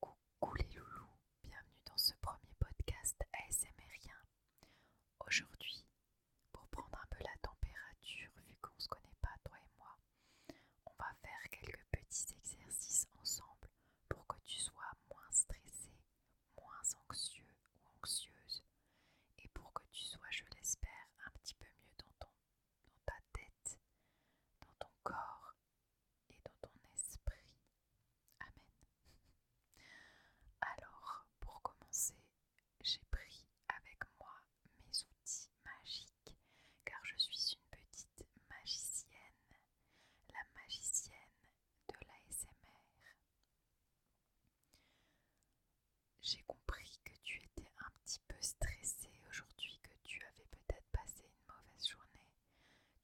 Coucou les loulous, bienvenue dans ce premier podcast ASMRien. Aujourd'hui, pour prendre un peu la température, vu qu'on se connaît pas, toi et moi, on va faire quelques petits exercices ensemble pour que tu sois moins stressé, moins anxieux ou anxieuse, et pour que tu sois, je l'espère, un petit peu mieux dans, ton, dans ta tête, dans ton corps et ton esprit. Amen. Alors, pour commencer, j'ai pris avec moi mes outils magiques, car je suis une petite magicienne, la magicienne de l'ASMR. J'ai compris que tu étais un petit peu stressée aujourd'hui, tu avais peut-être passé une mauvaise journée,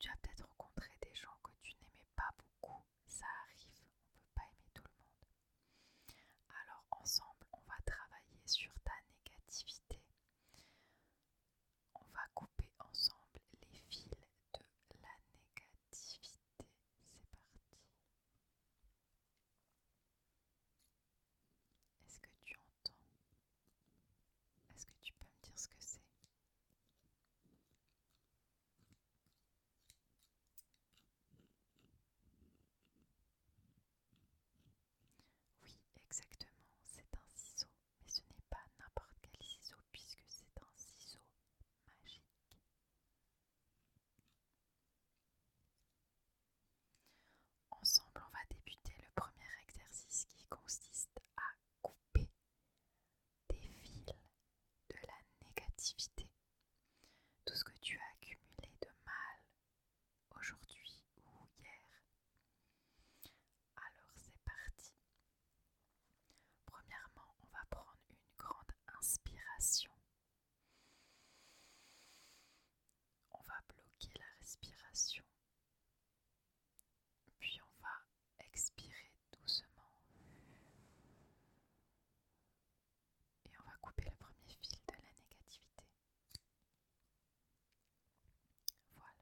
tu as peut-être rencontré des gens que tu n'aimais pas beaucoup, ça arrive, on ne peut pas aimer tout le monde. Alors ensemble, on va travailler sur ta négativité. On va couper ensemble les fils de la négativité. C'est parti. Est-ce que tu entends Est-ce que tu peux me dire ce que c'est Oui, exactement, c'est un ciseau, mais ce n'est pas n'importe quel ciseau puisque c'est un ciseau magique. Ensemble, on va débuter le premier exercice qui consiste à couper des fils de la négativité. Tout ce que tu as accumulé de mal aujourd'hui ou hier. Alors c'est parti. Premièrement, on va prendre une grande inspiration on va bloquer la respiration, puis on va expirer doucement. Et on va couper le premier fil de la négativité. Voilà.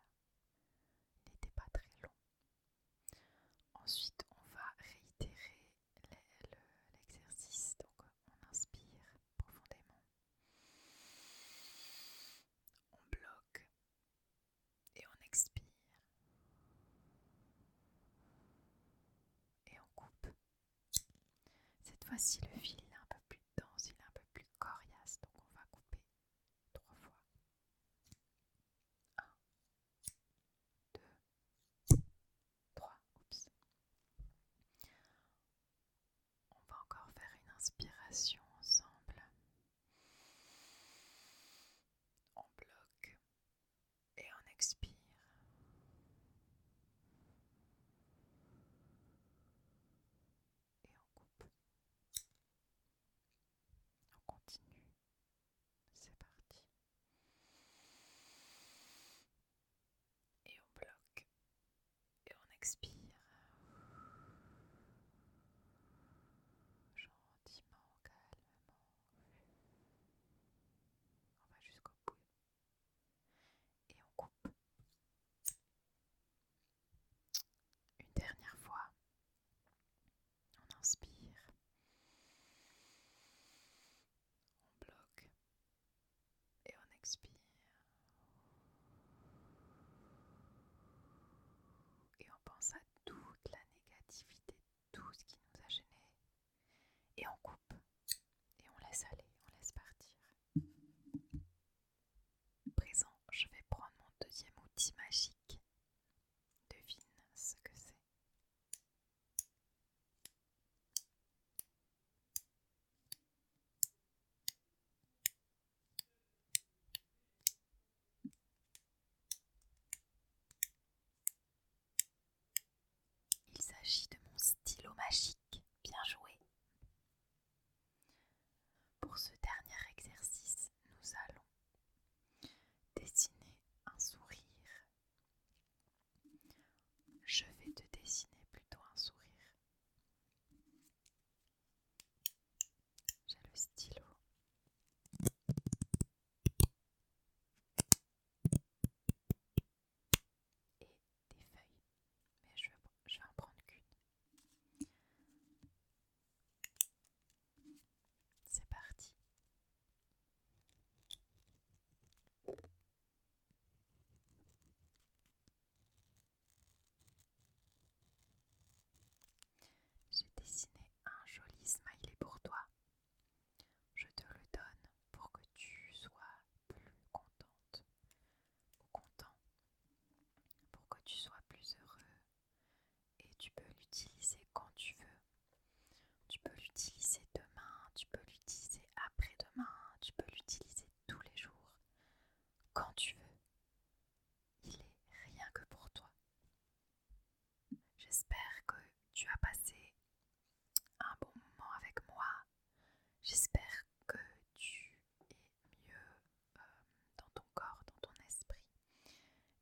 Il n'était pas très long. Ensuite, on va réitérer l'exercice. donc on inspire profondément. On bloque et on expire. Et on coupe. Cette fois-ci, le fil est un peu plus dense, il est un peu plus coriace. Donc on va couper trois fois. Un, deux, 3. On va encore faire une inspiration ensemble. On bloque et on expire. Et on coupe. On continue. C'est parti. Et on bloque. Et on expire. Gentiment, calmement. On va jusqu'au bout. Et on coupe. Une dernière fois. On inspire. On bloque. Et on expire. Et on pense à toute la négativité, tout ce qui nous a gêné, Et on coupe. Et on laisse aller, on laisse partir. Présent, je vais prendre mon deuxième outil magique Devine ce que c'est. Il s'agit de mon stylo magique. Bien joué. Pour ce dernier exercice, nous allons dessiner un sourire. Je vais te dessiner plutôt un sourire. J'ai le stylo. Et des feuilles. Mais je, je vais en prendre qu'une. C'est parti. J'ai dessiné un joli smiley pour toi. Je te le donne pour que tu sois plus contente ou content, pour que tu sois plus heureux et tu peux l'utiliser quand tu veux. Tu peux l'utiliser demain, tu peux l'utiliser après-demain, tu peux l'utiliser tous les jours, quand tu veux. Il est rien que pour toi. J'espère que tu as passé un bon moment avec moi. J'espère que tu et mieux euh, dans ton corps, dans ton esprit.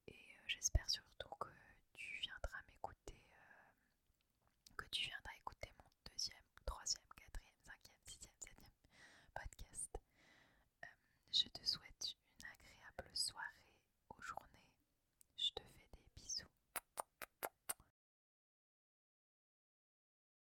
Et euh, j'espère surtout que tu viendras m'écouter, euh, que tu viendras écouter mon deuxième, troisième, quatrième, cinquième, sixième, septième podcast. je te souhaite une agréable soirée ou journée. Je te fais des bisous.